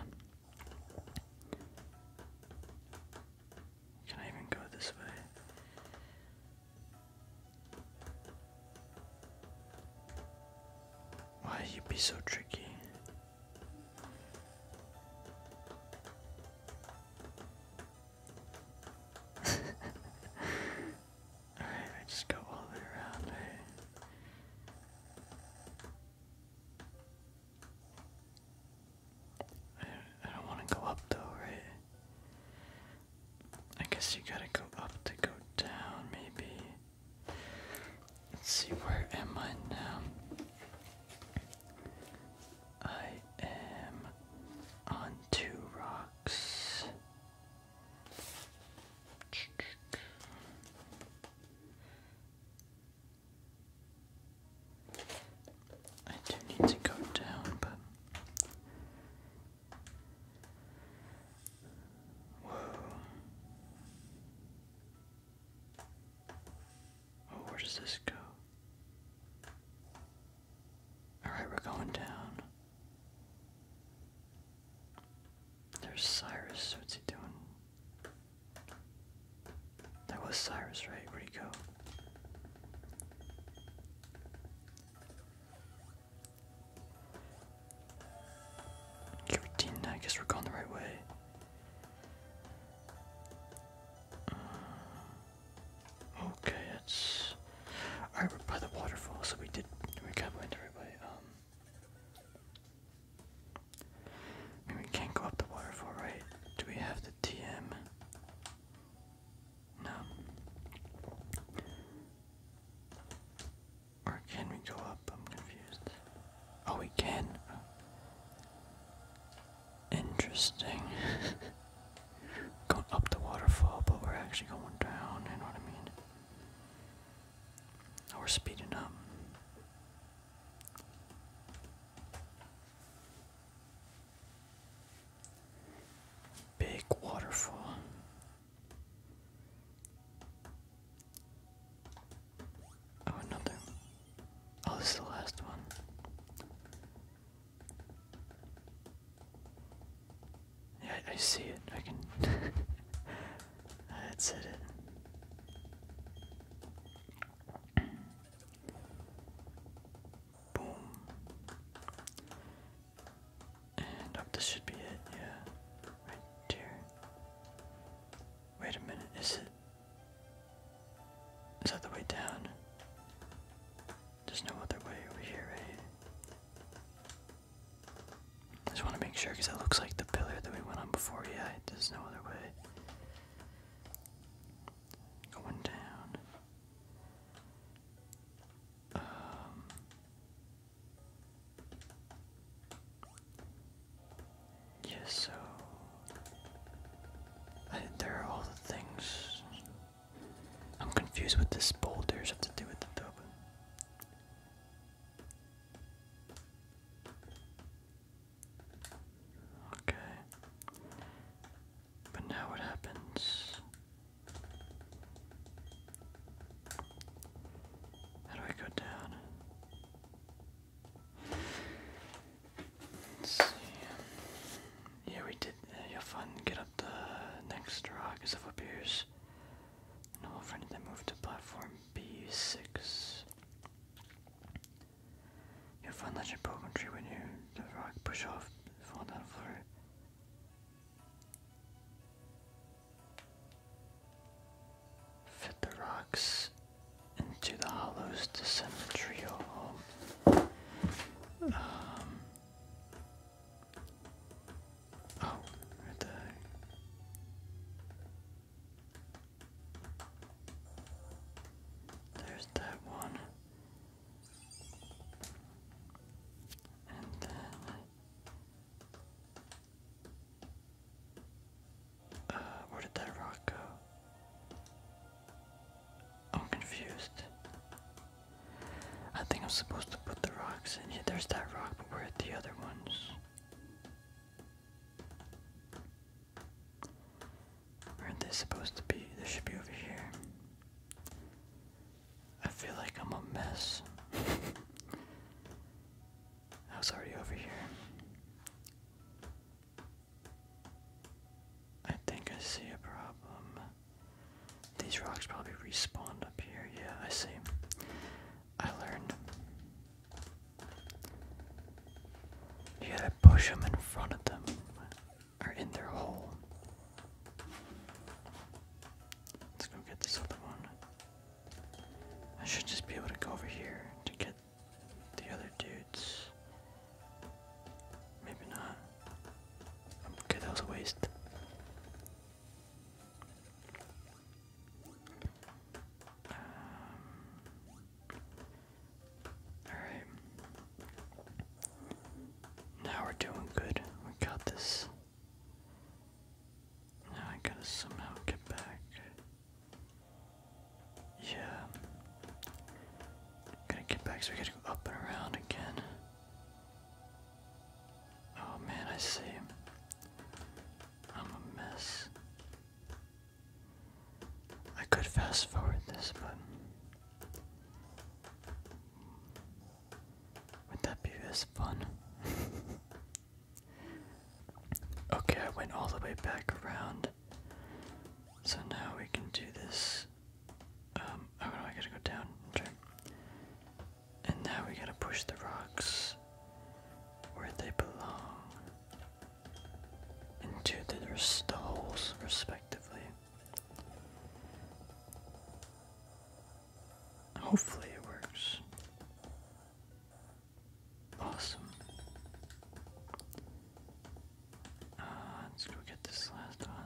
Can I even go this way? Why you be so tricky? Alright, I just go all the way around, I, don't want to go up though, right? I guess you gotta go up to go down, maybe. Let's see, where am I now? I am on two rocks. I do need to go down, but. Whoa. Oh, where does this go? Alright, we're going down. There's Cyrus. What's he doing? That was Cyrus, right? Where'd go? I guess we're going the right way. Uh, okay, that's alright. We're by the waterfall, so we did. We kind went the right um we can't go up the waterfall, right? Do we have the TM? No. Or can we go up? I'm confused. Oh, we can. Interesting. going up the waterfall, but we're actually going down, you know what I mean? Oh, we're speeding up. Big waterfall. Oh, another. Oh, this is the last one. Yeah, I, see it. I can. That's it. Boom. And up this should be it, yeah. Right there. Wait a minute, is it? Is that the way down? There's no other way over here, right? I just want to make sure because that looks like the pillar that we went on before. Yeah, there's no other way. Going down. Um, yes, so I, there are all the things. I'm confused with this boulder have to do with the tub. Okay. But now what happens? How do I go down? Let's see. Yeah, we did. Uh, you'll find get up the next rock as it appears. And No, friend, they moved to platform B6. You'll find that in Coventry when you the rock push off fall down through. Fit the rocks into the hollows to send the trio home. Um, oh, right there. There's that one. And then uh, where did that rock go? I'm confused. I think I'm supposed to put the rocks in. Yeah, there's that rock, but where are the other ones? Aren't they supposed to be? They should be over here. I feel like I'm a mess. I was already over here. I think I see a problem. These rocks probably respawned up here. Yeah, I see. I learned. You gotta push them in front of them, or in their hole. Let's go get this other one. I should just be able to go over here to get the other dudes. Maybe not. Okay, that was a waste. Um, Alright. Now we're doing good. We got this. Now I gotta somehow get back. Yeah. Gotta get back, so we gotta go up and around again. Oh man, I see. I'm a mess. I could fast forward this, but would that be as fun? okay, I went all the way back around. So now we can do this. Um, oh no, I gotta go down. Okay. And now we gotta push the rocks where they belong into their stalls, respectively. Hopefully, it works. Awesome. Uh, let's go get this last one.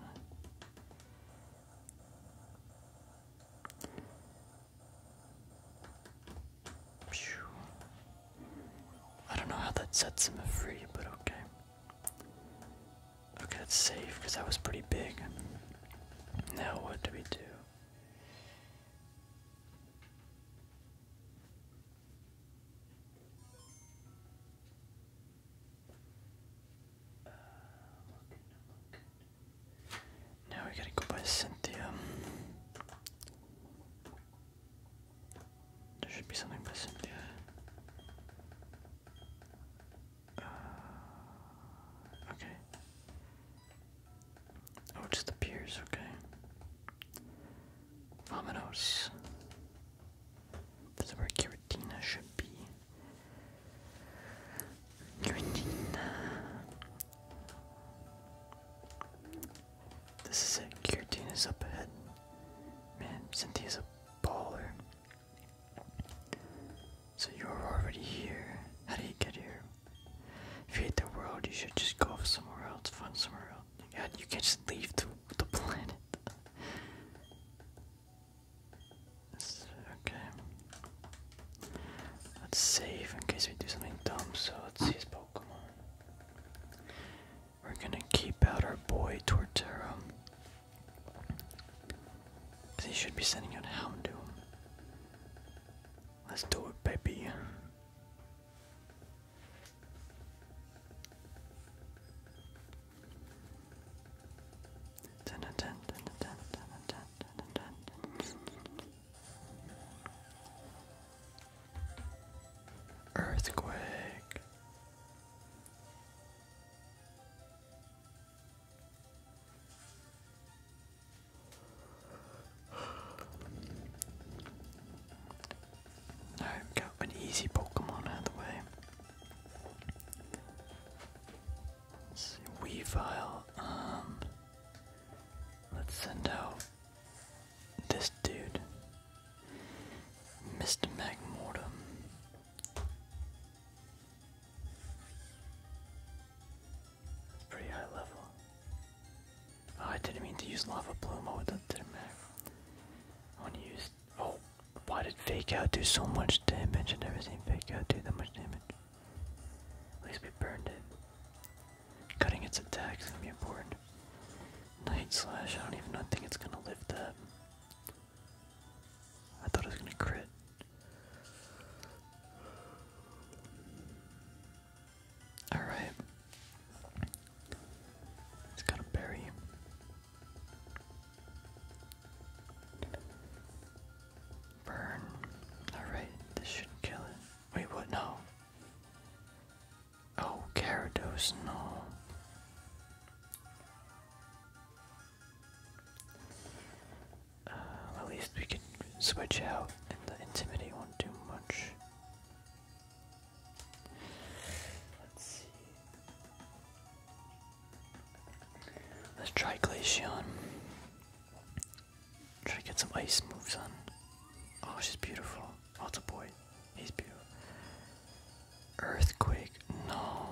I don't know how that sets him free, but okay. Okay, that's safe because that was pretty big. Now what do we do? Now we gotta go by Cynthia. There should be something missing, yeah. Uh, okay. Oh, just the piers, okay. Vominos. This where Giratina should be. Giratina. This is it. is up ahead. Man, Cynthia's a baller. So you're already here. How do you get here? If you hate the world, you should just go somewhere else, find somewhere else. You, you can't just leave the, the planet. okay. Let's save in case we do something dumb, so let's see his Pokemon. We're gonna keep out our boy Tortero. he should be sending out Houndoom. Let's do it, baby. Earthquake i got an easy Pokemon out of the way. Let's um, let's send out this dude. Mr. Magmortem. pretty high level. Oh, I didn't mean to use Lava Bloom. I that didn't matter. I want to use. Oh, why did Fake Out do so much damage? I've never seen Fake Out do that much damage. At least we burned it. Cutting its attacks is gonna be important. Night Slash, I don't even know, think it's gonna lift that. I thought I was gonna crit. Alright. It's got a berry. Burn. Alright, this should kill it. Wait, what? No. Oh, Gyarados, no. Uh, at least we can switch out and the Intimidate won't do much. Let's see. Let's try Glaceon. Try get some ice moves on. Oh, she's beautiful. Oh, it's boy. Earthquake, no.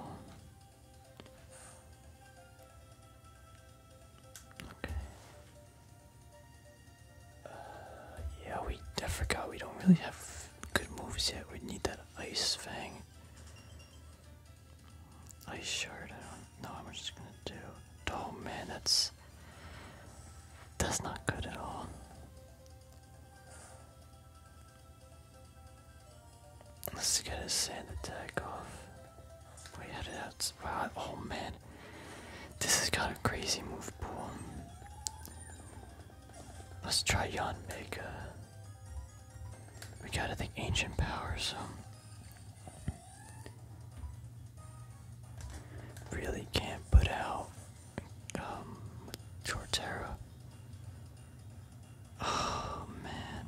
Okay. Uh, yeah, we. I forgot we don't really have good moves yet. We need that ice thing. Ice shard. I don't know how much it's gonna do. Oh man, that's that's not good at all. Let's get his sand attack off. We had it outside. Oh man, this has got a crazy move pool. Let's try Yon Mega. We got to think ancient power, so really can't put out um, with Oh man,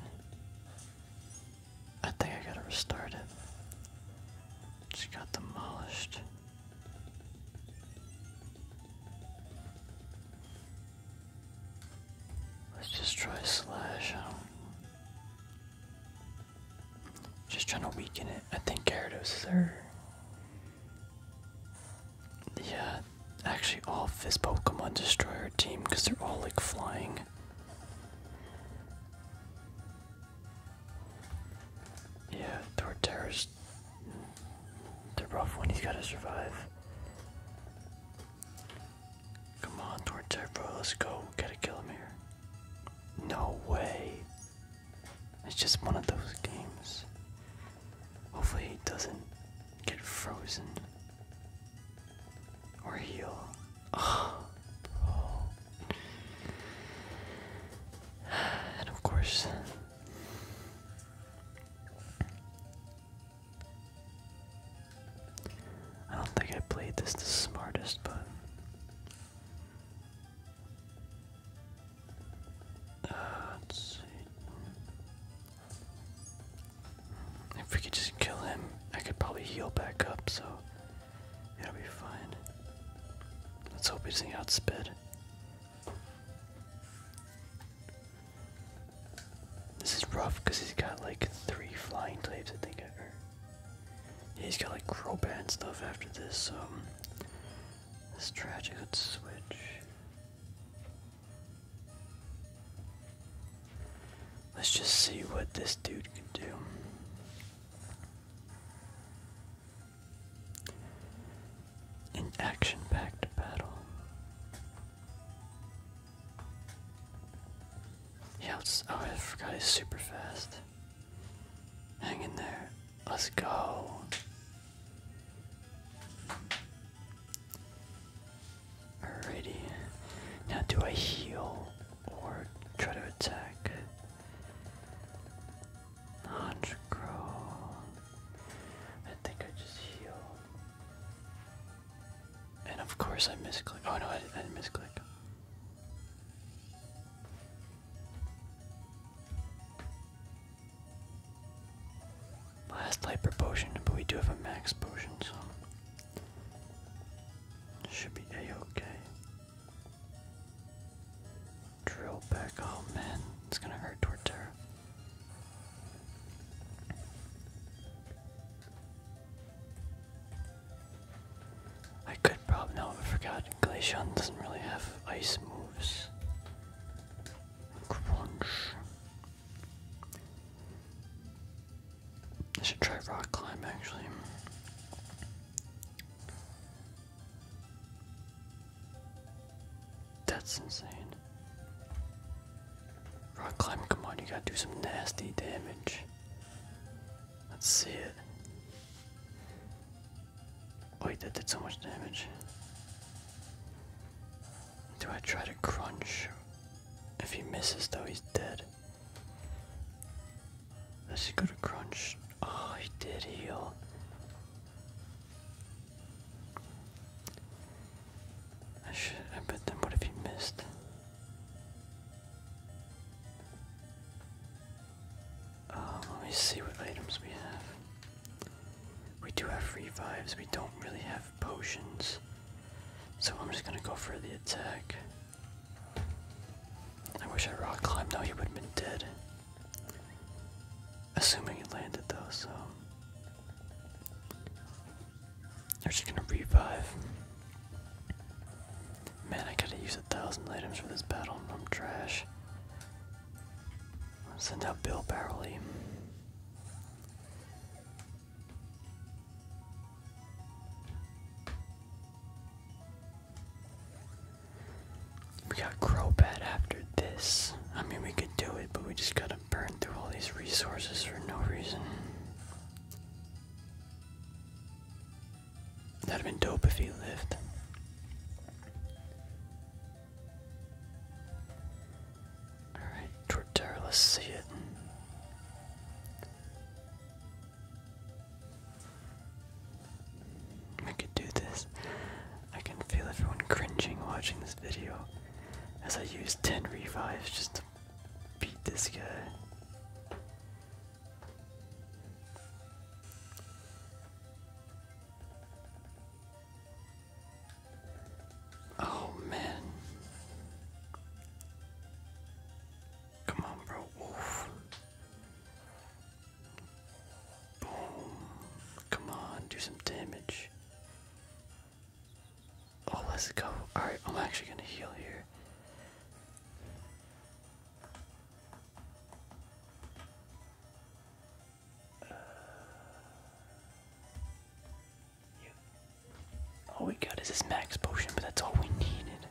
I think I gotta restart it. She got demolished. Let's just try slash. I don't... Just trying to weaken it. I think Gyarados is there. Yeah, actually, all of his Pokemon destroy our team because they're all like flying. Yeah, Torterra's. Mm, they're rough one, he's gotta survive. Come on, Torterra, bro, let's go. get to kill him here. No way. It's just one of those games. Hopefully he doesn't get frozen. Or heal. Oh, And of course. I don't think I played this the smartest, but uh, if we could just kill him, I could probably heal back up, so it'll be fine. Let's hope he's not get This is rough because he's got like three flying types, I think. he's got like crowbat and stuff after this, so. Um, this tragic, switch. Let's just see what this dude can do. An action packed battle. He oh, I forgot he's super fast. Hang in there. Let's go. Alrighty. Now, do I heal or try to attack? Honchcrow. I think I just heal. And of course, I misclick. Oh no, I, I didn't misclick. Last hyper potion, but we do have a max potion, so should be a okay. Drill back. Oh man, it's gonna hurt Torterra. I could probably no, I forgot. Glaceon doesn't really have ice moves. I should try rock climb actually. That's insane. Rock climbing, come on, you gotta do some nasty damage. Let's see it. Wait, that did so much damage. Do I try to crunch? If he misses though, he's dead. Let's just go to crunch. Oh, he did heal. I should, but then what if he missed? Um, let me see what items we have. We do have free revives, we don't really have potions. So I'm just gonna go for the attack. I wish I rock climbed, though, he would have been dead. Assuming it landed though, so. They're just gonna revive. Man, I gotta use a thousand items for this battle, I'm trash. Send out Bill Barley. We got Crobat after this. I mean, we could do it, but we just gotta burn through all these resources for no reason. That'd been dope if he lived. Alright, Torterra, let's see it. I could do this. I can feel everyone cringing watching this video as I use 10 revives just to beat this guy. Oh man. Come on, bro. Boom. Come on, do some damage. Oh, let's go. Alright, I'm actually gonna heal here. Uh, all we got is this max potion, but that's all we needed.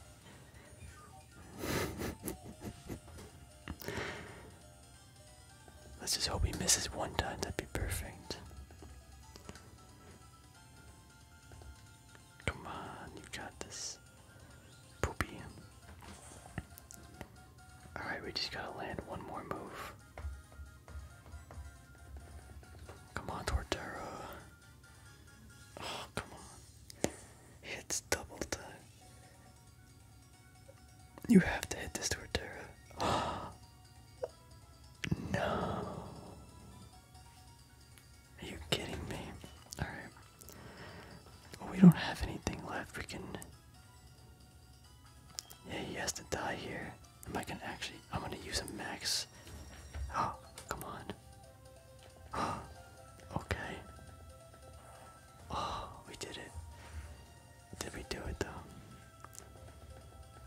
Let's just hope he misses one time, that'd be perfect. Come on, you got this. Poopy. Alright, we just gotta land one more move. Come on, Torterra. Oh, come on. Hits double time. You have to hit this Torterra. Oh. No. Are you kidding me? Alright. we don't have anything left. We can yeah, he has to die here. Am I gonna actually? I'm gonna use a max. Oh, come on. Oh, okay. Oh, we did it. Did we do it though?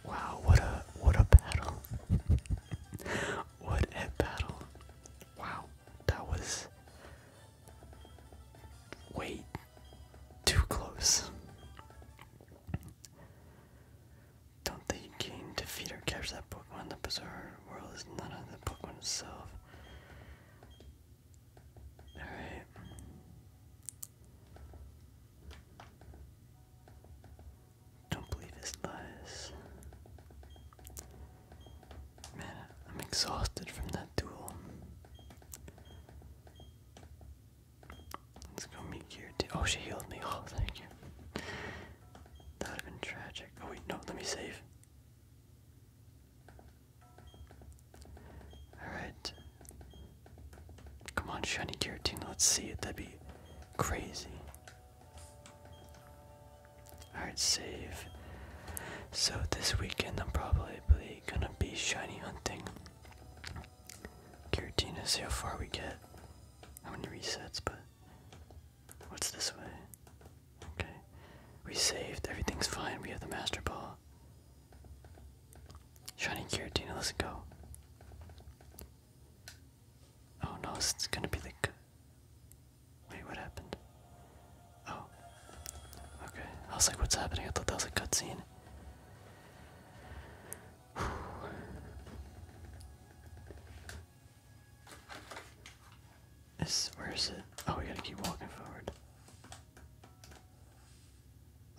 Wow, what a what a battle. what a battle. Wow, that was. Wait, too close. Don't think you can defeat or capture that The bizarre world is none of the Pokemon itself. Alright. Don't believe his lies. Man, I'm exhausted from that duel. Let's go meet Kirti. Oh, she healed me. Oh, thank you. That would have been tragic. Oh, wait, no, let me save. Alright. Come on, shiny Giratina, let's see it. That'd be crazy. Alright, save. So this weekend I'm probably gonna be shiny hunting. Giratina, see how far we get. How many resets, but what's this way? Okay. We saved, everything's fine, we have the master ball. Shiny Giratina, let's go. Oh no, it's gonna be the Wait, what happened? Oh. Okay. I was like, what's happening? I thought that was a cutscene. where is it? Oh, we gotta keep walking forward.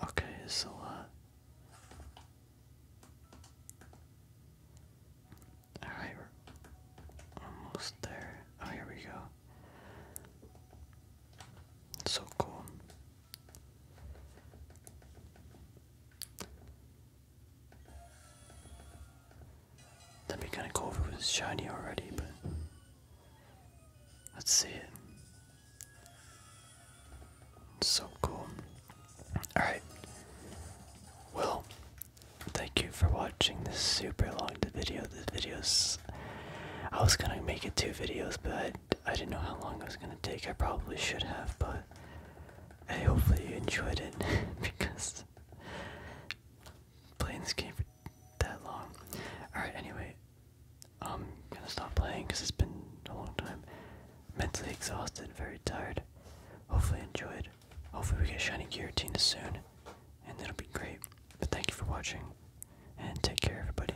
Okay, it's a Alright, almost there. Oh, here we go. So cool. That'd be kind of cool if it was shiny already, but let's see it. so cool. Alright. Well, thank you for watching this super long video. The videos. I was gonna make it two videos, but I didn't know how long I was gonna take. I probably should have, but hey, hopefully you enjoyed it because playing this game for that long. Alright, anyway, I'm gonna stop playing because it's been a long time. Mentally exhausted, very tired. Hopefully, enjoyed. Hopefully, we get Shiny Giratina soon, and that will be great. But thank you for watching, and take care, everybody.